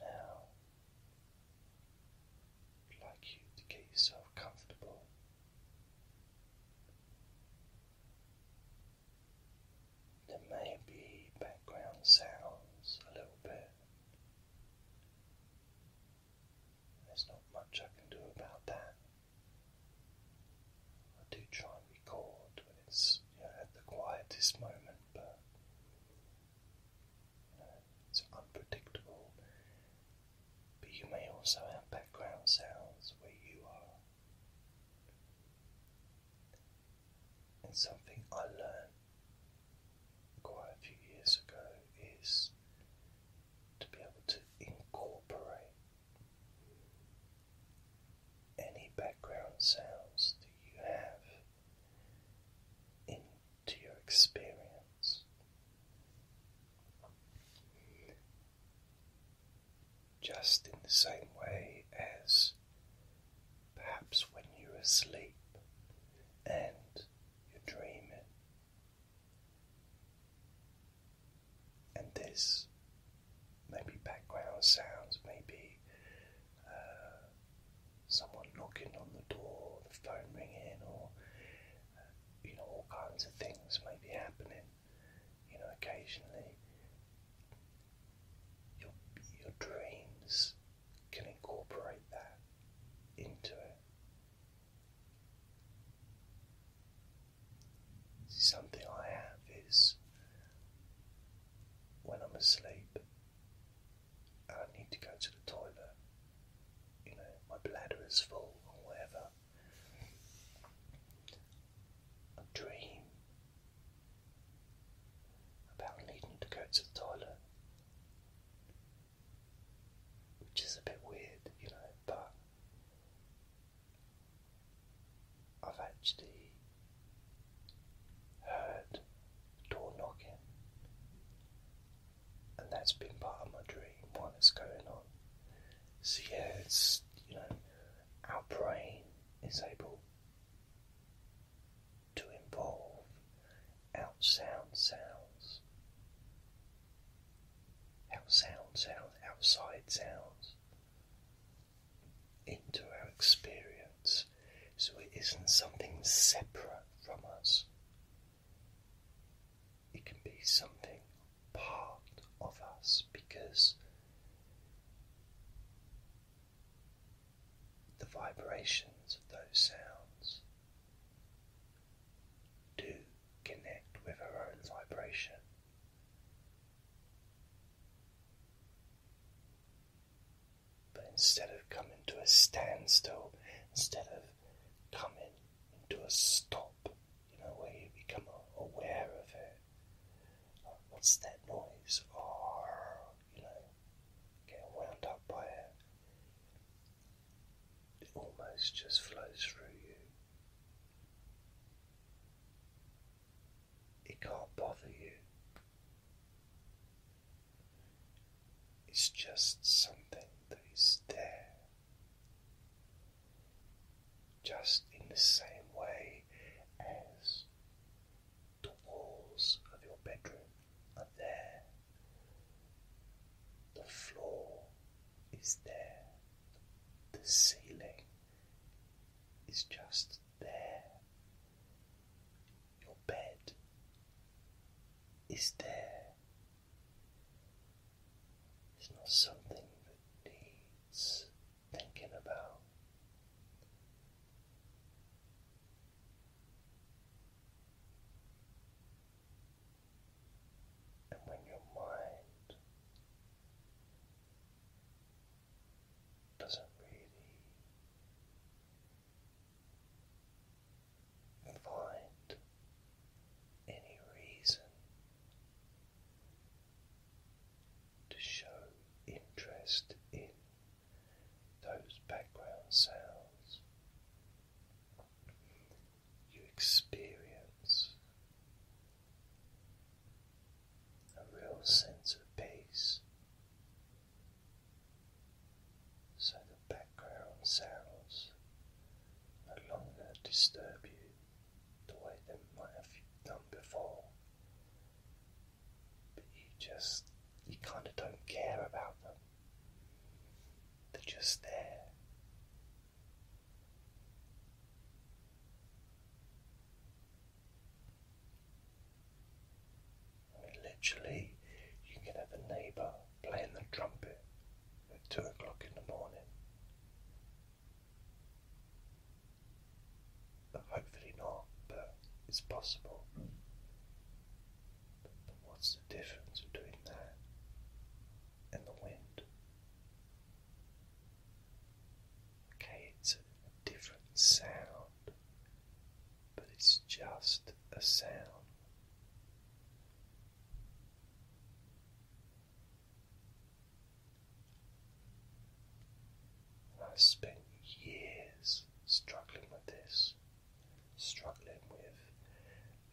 Now, I'd like you to get yourself comfortable. There may be background sounds a little bit. There's not much I can do about that. I do try and record when it's know, at the quietest moment, but it's unpredictable. But you may also have background sounds where you are. And something I learned quite a few years ago is to be able to incorporate any background sounds that you have in to your experience. Just in the same way as perhaps when you're asleep and you're dreaming. And this maybe background sounds, maybe uh, someone knocking on the door, the phone ringing, or uh, you know all kinds of things may be happening. You know, occasionally your your dreams can incorporate that into it. something I have is when I'm asleep, I need to go to the toilet, you know, my bladder is full or whatever. I dream about needing to go to the toilet, which is a bit weird, you know, but I've actually heard door knocking. And that's been part of my dream while it's going on. So yeah, it's you know, our brain is able to involve outsound sounds. Outsound sounds, outside sounds into our experience so it isn't something separate from us. It can be something part of us because the vibrations of those sounds do connect with our own vibration. But instead of coming to a standstill, instead of coming to a stop, you know, where you become aware of it. Like, what's that noise? Oh, you know, getting wound up by it. It almost just flows through you. It can't bother you. It's just something that is there. Just in the same way as the walls of your bedroom are there, the floor is there, the ceiling is just there your bed is there. It's not something that needs thinking about. And when your mind doesn't really Find any reason to show interest in those background sounds. You experience a real sense of peace so the background sounds no longer disturb you the way they might have you done before. But you just, you kind of don't care about them. They're just there. I mean, literally, you can have a neighbour playing the trumpet at two o'clock in the morning. But hopefully not, but it's possible. But, what's the difference between that and the wind? Okay, a different sound, but it's just a sound. I spent years struggling with this, struggling with,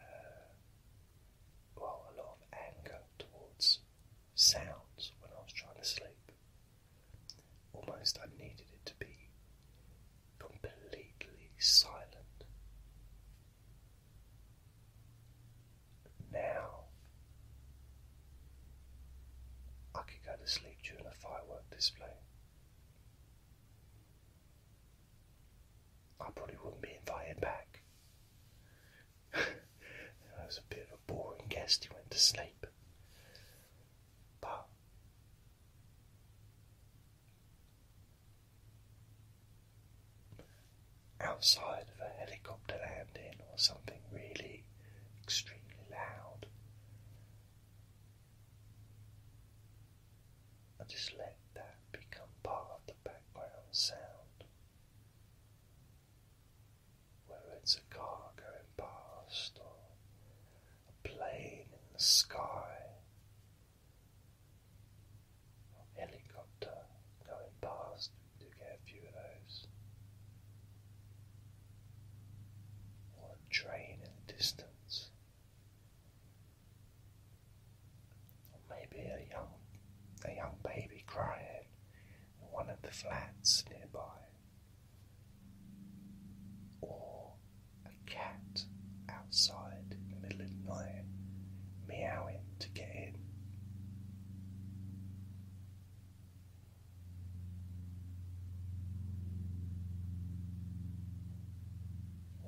uh, well, a lot of anger towards sounds when I was trying to sleep. Almost I needed it to be completely silent. Now, I could go to sleep during a firework display. I probably wouldn't be invited back. I was a bit of a boring guest He went to sleep pa. Outside of a helicopter landing or something really extremely loud, I just let that become part of the background sound. Whether it's a car going past or a plane in the sky, a helicopter going past. We do get a few of those. Or a train in the distance. Or maybe a young a young baby crying in one of the flats nearby or a cat outside in the middle of the night meowing to get in.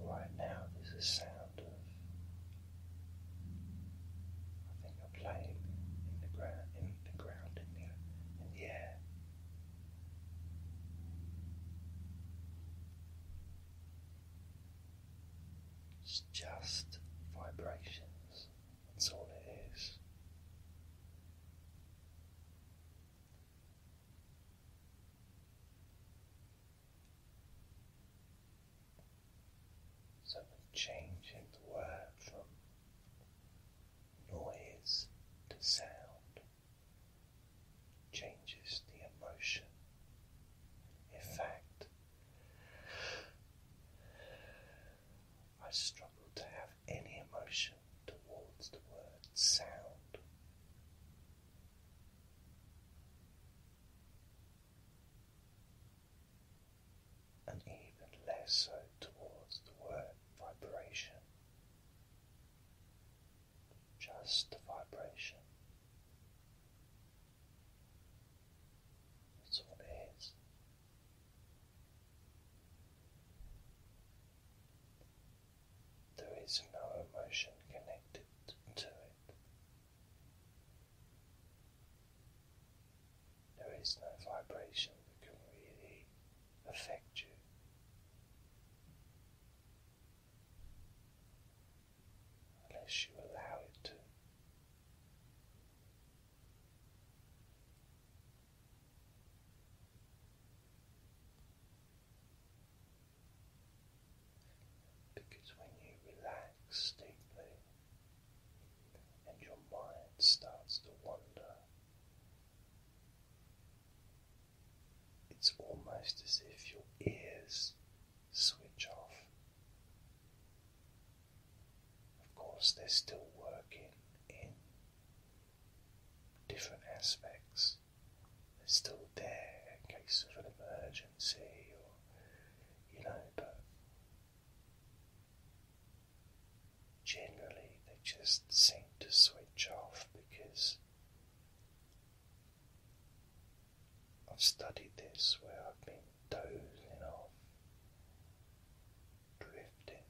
Right now, there's a sound of. I think I'm playing in the ground, in the ground, in the in the air. It's just vibrations, that's all it is. So changing the word from noise to sound changes the emotion. In fact, I struggle to have any emotion towards the word sound. And even less so towards the word vibration just a vibration. That's all it is. There is no emotion connected to it. There is no vibration that can really affect you unless you allow it to. Because when you relax deeply and your mind starts to wander, it's almost as if your ears switch off. Of course, they're still working in different aspects. They're still there in case of an emergency or, you know, but generally they just seem to switch off because I've studied this where I've been dozing off, drifting,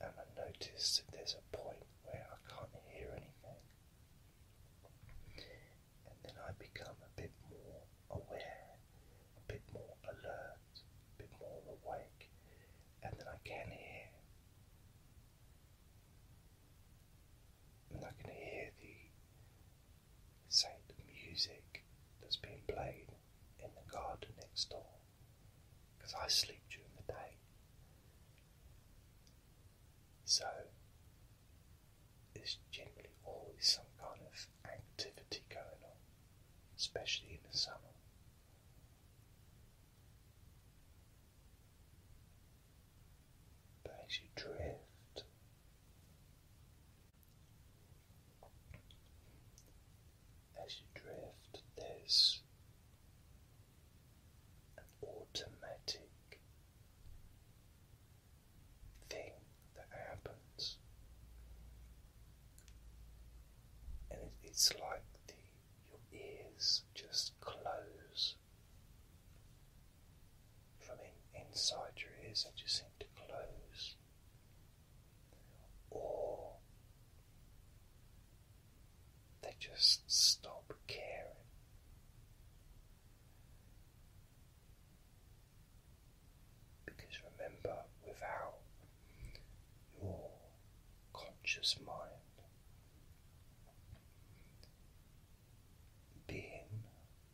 and I notice that there's a point where I can't hear anything, and then I become a bit more aware, a bit more alert bit more awake, and then I can hear. And I can hear the say the music that's being played in the garden next door. Because I sleep during the day. So there's generally always some kind of activity going on, especially in the summer. But as you drift, as you drift, there's an automatic thing that happens and it's like your ears just close from inside your ears, and just seem to close, or they just stop caring. Because remember, without your conscious mind. Being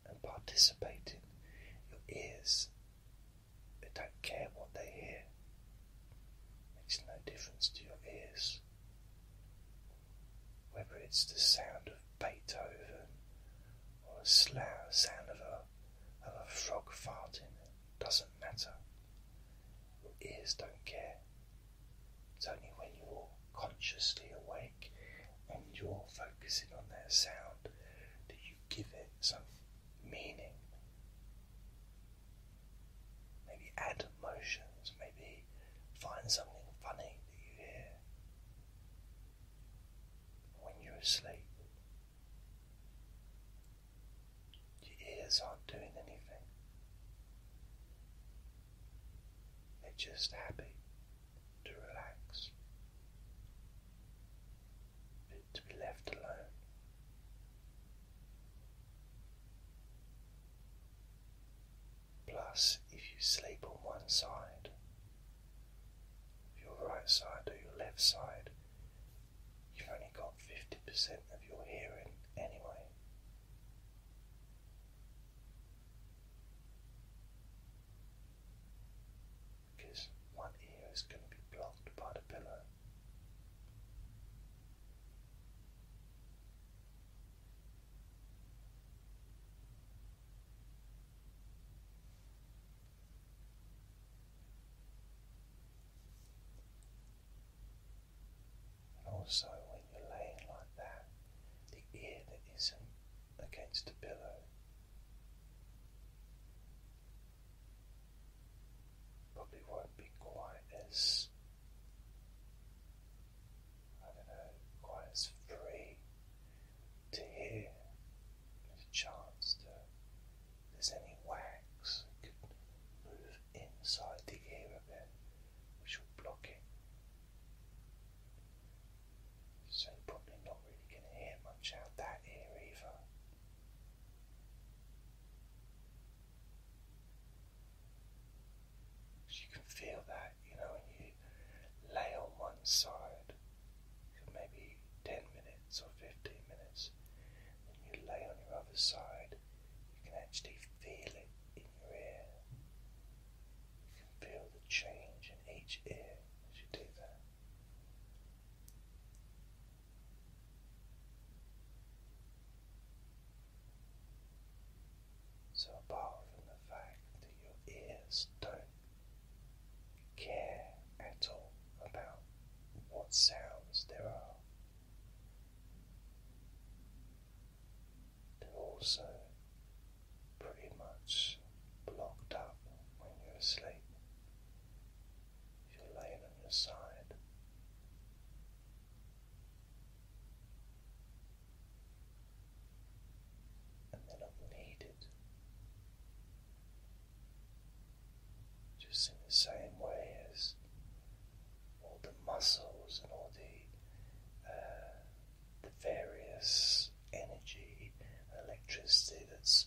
and participating, your ears, they don't care what they hear. Makes no difference to your ears. Whether it's the sound of Beethoven or a sound of a, of a frog farting, it doesn't matter. Ears don't care. It's only when you're consciously awake and you're focusing on that sound that you give it some meaning. Maybe add emotions, maybe find something funny that you hear. When you're asleep, your ears aren't doing anything, they're just happy to relax, to be left alone. Plus, if you sleep on one side, your right side or your left side, You've only got 50% of your hearing anyway. Because one ear is going to be blocked by the pillow. And also, when you're laying like that, the ear that isn't against a pillow probably won't be quite as, I don't know, quite as free to hear. There's a chance to there's any wax could move inside the ear a bit, which will block it. So you probably not really going to hear much out that ear either. You can feel that, you know, you lay on one side for maybe 10 minutes or 15 minutes shoulders. you lay on your other side, you can actually feel it in your ear. You can feel the change in each ear as you do that. So, apart from the fact that your ears don't care at all about what sounds there are. they also pretty much blocked up when you're asleep. you're laying on your side, and they're not needed just in the same way as all the muscles and all the, uh, the various energy electricity that's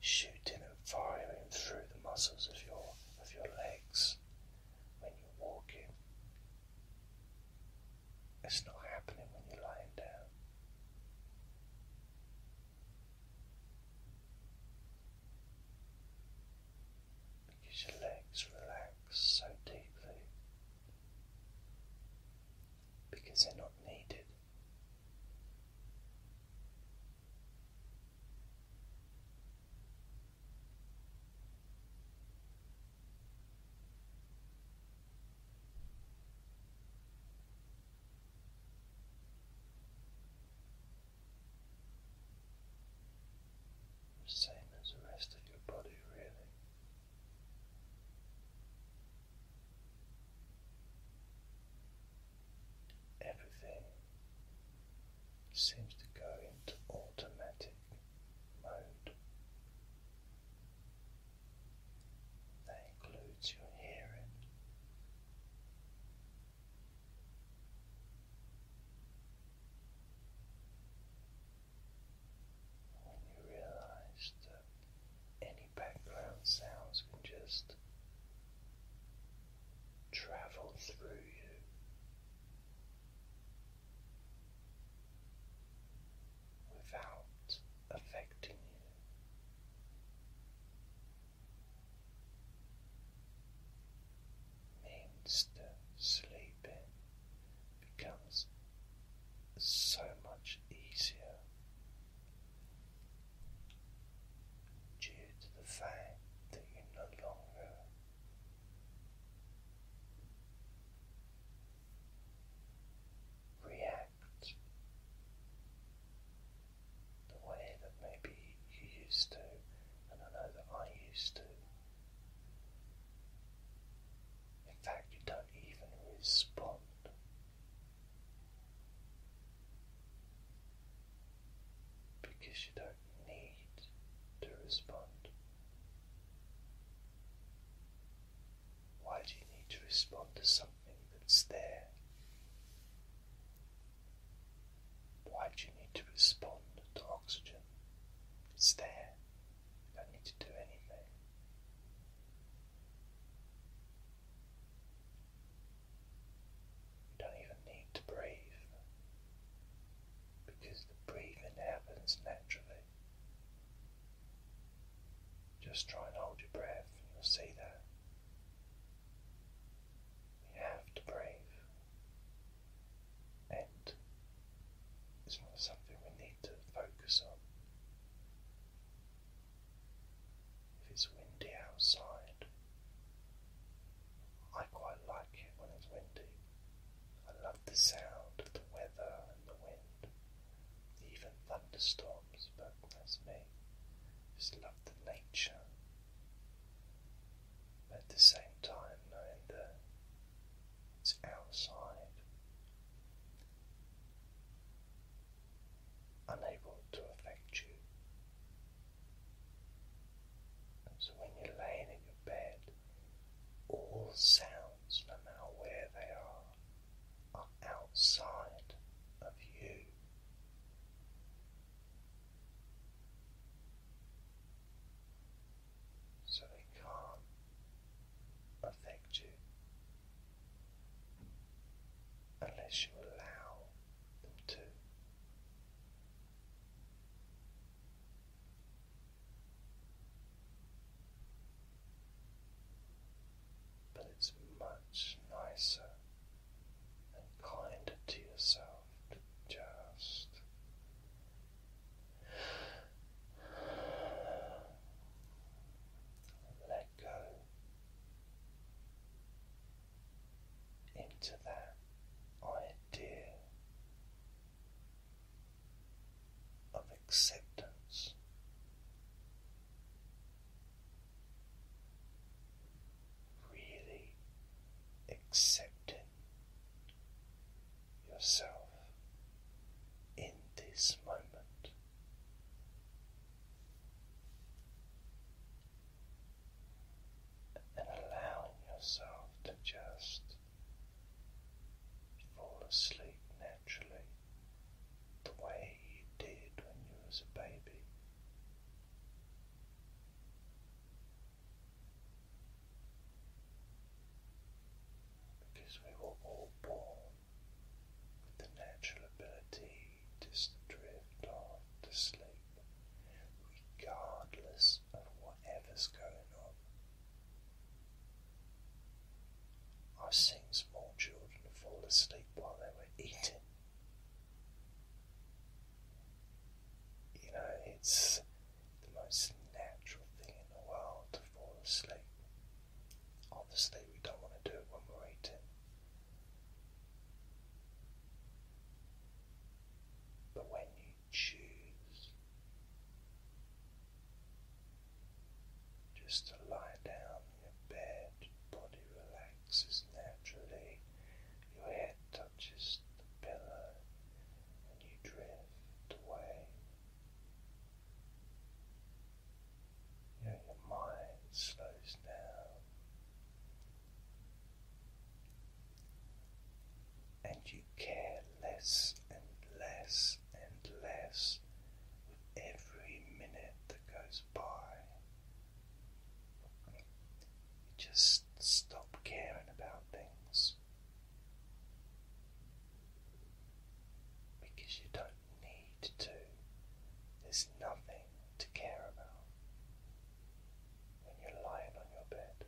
shooting and firing through the muscles of your of your legs when you're walking. It's not happening when you're lying down. Because your legs relax so deeply, because they're not needed. Same as the rest of your body, really. Everything seems to go into automatic mode. That includes your hearing, when you realize that any background sounds can just travel through you. Without affecting you, means that sleeping becomes so much easier due to the fact that you no longer react the way that maybe you used to, and I know that I used to. In fact, you don't even respond. Because you don't need to respond. Why do you need to respond to something that's there? Why do you need to respond to oxygen? It's there. You don't need to do anything. You don't even need to breathe because the breathing happens naturally. Just try and hold your breath, and you'll see that we have to brave, and it's not something we need to focus on. If it's windy outside, I quite like it when it's windy. I love the sound of the weather and the wind, even thunderstorms, but that's me. Just love the nature at the same time, knowing that it's outside, unable to affect you. so when you're laying in your bed, all sounds, no matter where they are, are outside of you so they can't affect you unless you allow them to. But it's much nicer and kinder to yourself to just let go into that idea of acceptance really accepting yourself in this moment. And allowing yourself to just fall asleep naturally the way you did when you was a baby. Because we were all born with the natural ability to drift off to sleep, regardless of whatever's going on. I've seen small children fall asleep while they were eating. You know, it's the most natural thing in the world to fall asleep. Obviously, we don't want to do it when we're eating. But when you choose just to lie down in your bed, your body relaxes naturally, your head touches the pillow, and you drift away. your mind slows down. And you care less and less and less with every minute that goes by just stop caring about things because you don't need to. There's nothing to care about when you're lying on your bed,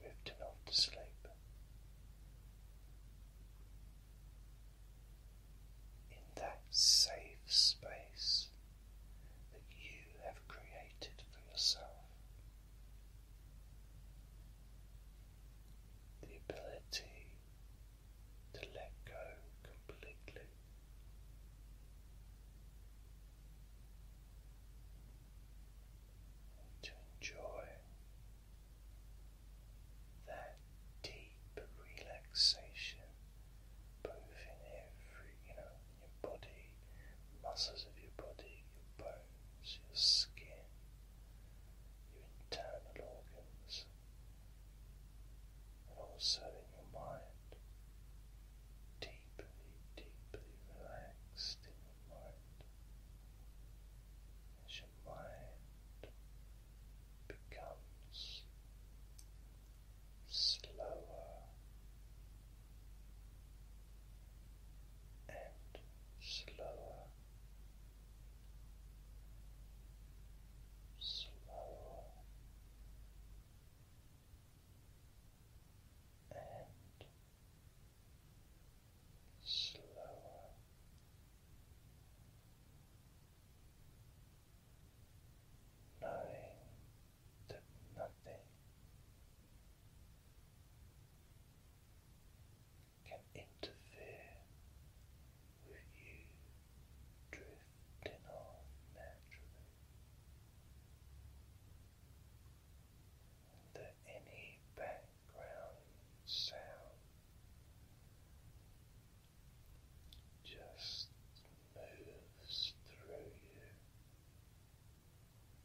drifting off to sleep in that safe space that you have created for yourself. The ability to let go completely. to enjoy that deep relaxation both in every, you know, your body, muscles of your body, your bones, your skin, your internal organs, and also in your mind. Deeply, deeply relaxed in your mind. As your mind becomes slower and slower, slower and slower knowing that nothing can interfere with you drifting off naturally, that any background sound just moves through you.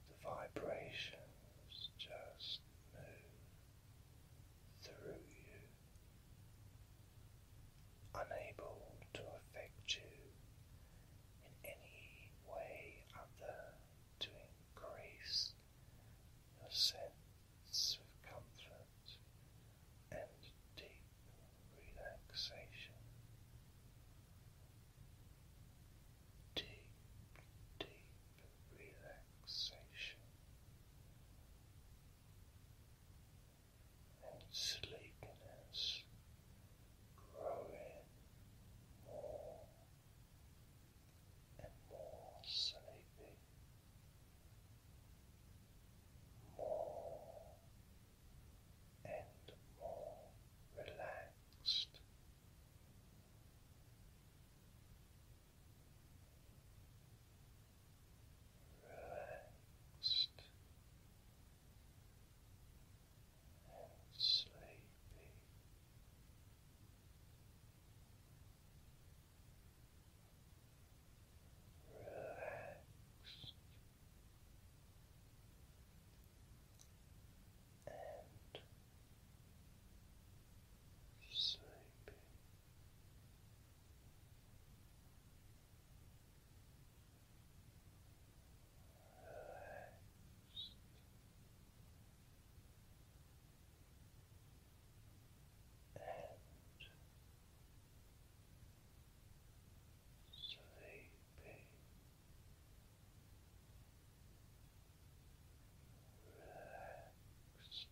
The vibrations just move through you, unable to affect you in any way other to increase your sense of comfort and deep relaxation. Deep, deep relaxation and sleepiness growing more and more sleepy, and more relaxed. Relaxed and sleepy relaxed and sleepy. Relaxed. And sleeping relaxed and sleeping.